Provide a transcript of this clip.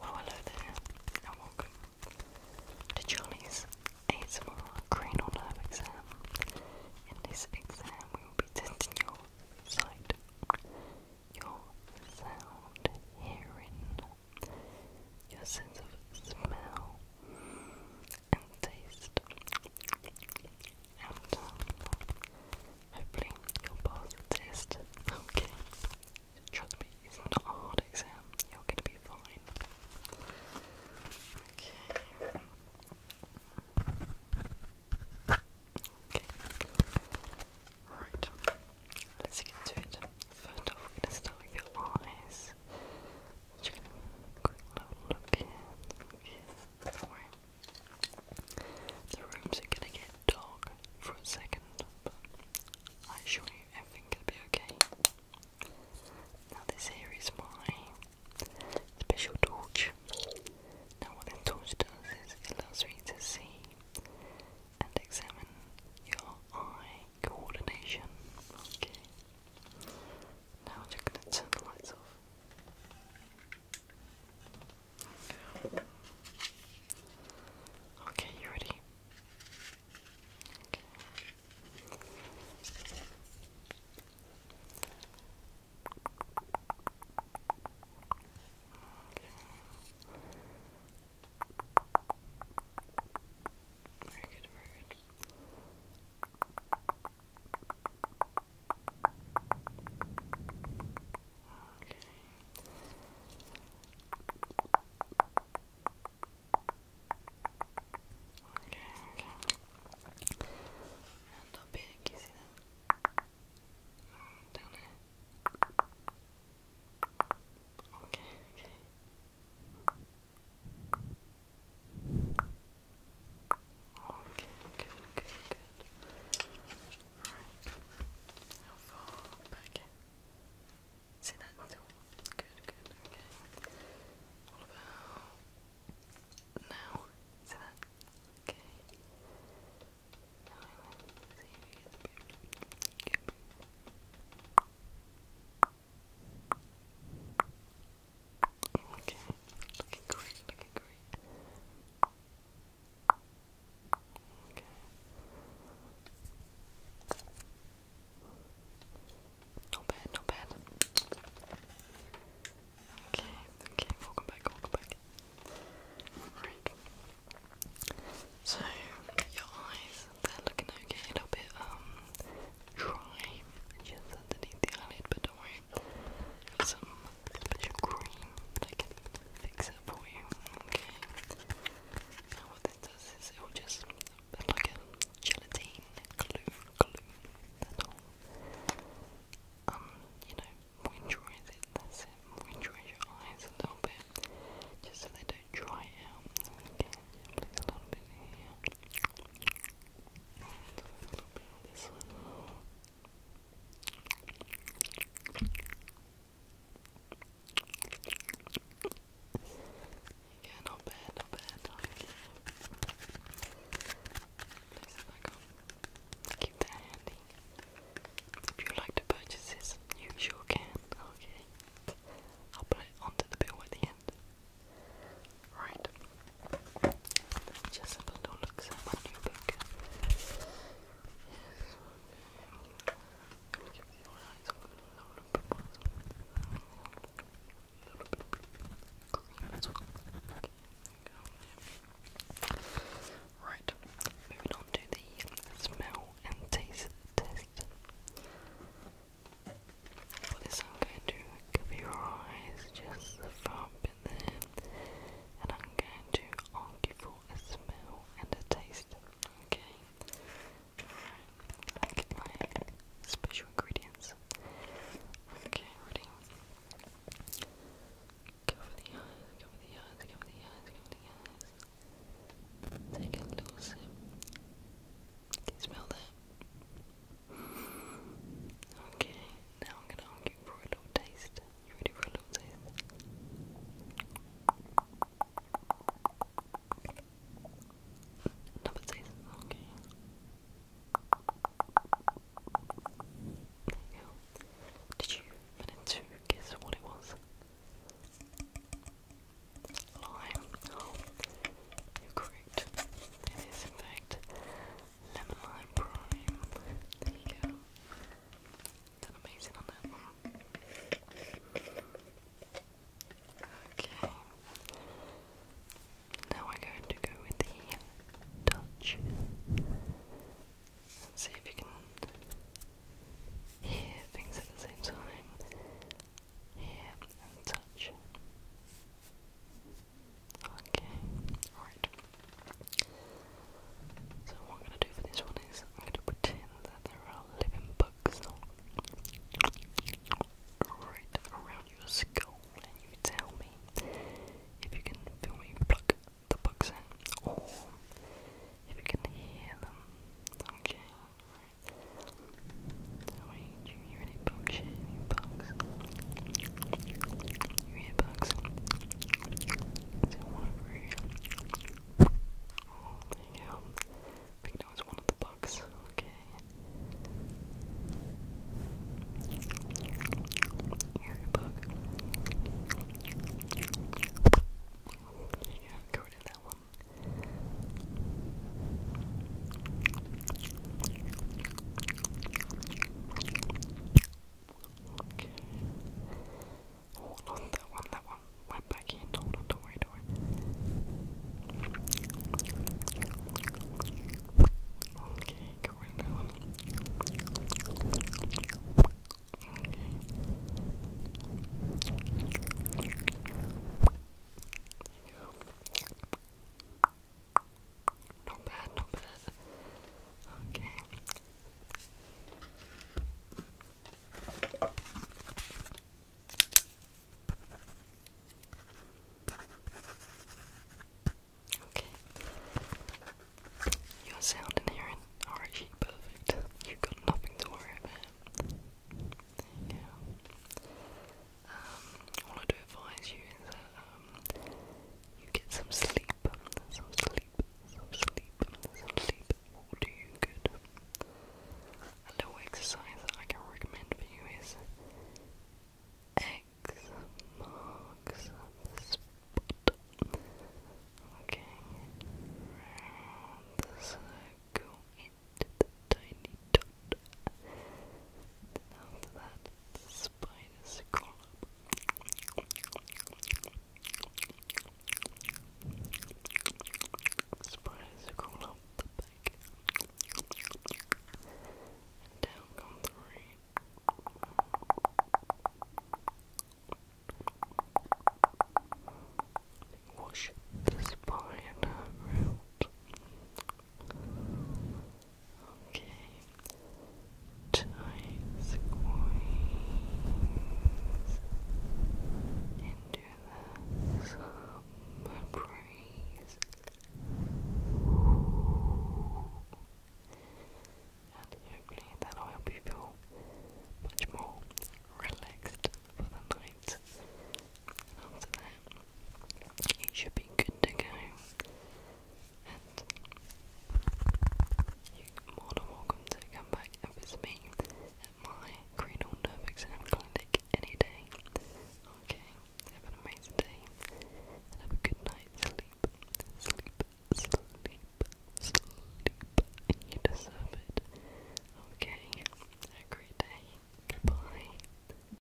Well, hello there, and welcome to Charlie's cranial nerve exam. In this exam, we will be testing your sight, your sound, hearing, your sense of smell and taste, and um, hopefully you the test. Okay. Trust me, it's not a hard exam. You're gonna be fine. Okay. Okay. Right. Let's get to it. First off, we're gonna start with your eyes. Just gonna quick little look here. The rooms are gonna get dog for a second, but I assure you everything will be okay. Now this here is my special torch. Now what a torch does is it allows me to see and examine your eye coordination. Okay. Now I'm just gonna turn the lights off. Okay, you ready? Very good, very good. Okay. Okay, okay. And up here, can you see that? Down there. Okay, okay. Okay, good, good, good. Alright. See that? Good, good, okay. now? See that? Okay. you Okay, looking great, looking great. Not bad, not bad. Okay, okay, welcome back, welcome back. So, your eyes, they're looking okay, a little bit um dry just underneath the eyelid, but don't worry a little bit of cream, fix it for you, okay? Now what this does is it will just, it's like gelatine glue, glue, that's all. Um, you know, moisturize it, moisturize your eyes a little bit, just so they don't dry out, okay? a little bit here. a little bit on this one. Yeah, bad, not bad. Okay. Place it Keep that handy. If you like to purchase this, you sure can. Okay. I'll put it onto the bill at the end. Right. just have a look at my new Right, moving on to the smell and taste test. For this, going to cover your eyes just the far bit there and I'm going to argue for a smell and a taste. Okay? Alright, special ingredients. Okay, ready? Cover the eyes, cover the eyes, cover the eyes, cover the eyes. Take a little sip. Can you smell that? Okay, now I'm gonna argue for a little taste. You ready for a little taste? Number six, okay. Did you manage to guess what it was? Lime. Oh, you're correct. It is, in fact, Lemon Lime Prime. There you go. Done amazing on that one. Okay. Now we're going to go with the Dutch. Let's see if you can hear things at the same time. Hear and touch. Okay, alright. So what I'm gonna do for this one is I'm gonna pretend that there are living bugs right around your skull and you tell me if you can feel me pluck the bugs in if you can hear them. Okay, alright. So you hear any bugs? Any bugs? Your earbuds. Is it one over here? Oh, there you go. one of the bugs. Okay. Earbug. Yeah, go to that one. Okay. Hold on, that one, that one went back in. Hold on, don't worry, don't worry. Okay, go in that one. Okay. There you go. Not bad, not bad. Okay. Okay. Your sound and hearing are actually perfect. you got nothing to worry about. There um, all I do advise you is that um, you get some sleep, some sleep, some sleep, some sleep will do you good. A little exercise that I can recommend for you is X marks the spot. Okay, round the circle into the tiny dot after that, the spider's column. Spider's column the back. And down comes rain. Wash the spider out. Okay. Tight squeeze into the summer breeze. And hopefully that'll help you feel much more relaxed for the night. after that, it should be good to go you're more than welcome to come back and visit me at my cranial nerve exam clinic any day. Okay, have an amazing day and have a good night's sleep. Sleep, sleep, sleep, and you deserve it. Okay, have a great day. Goodbye.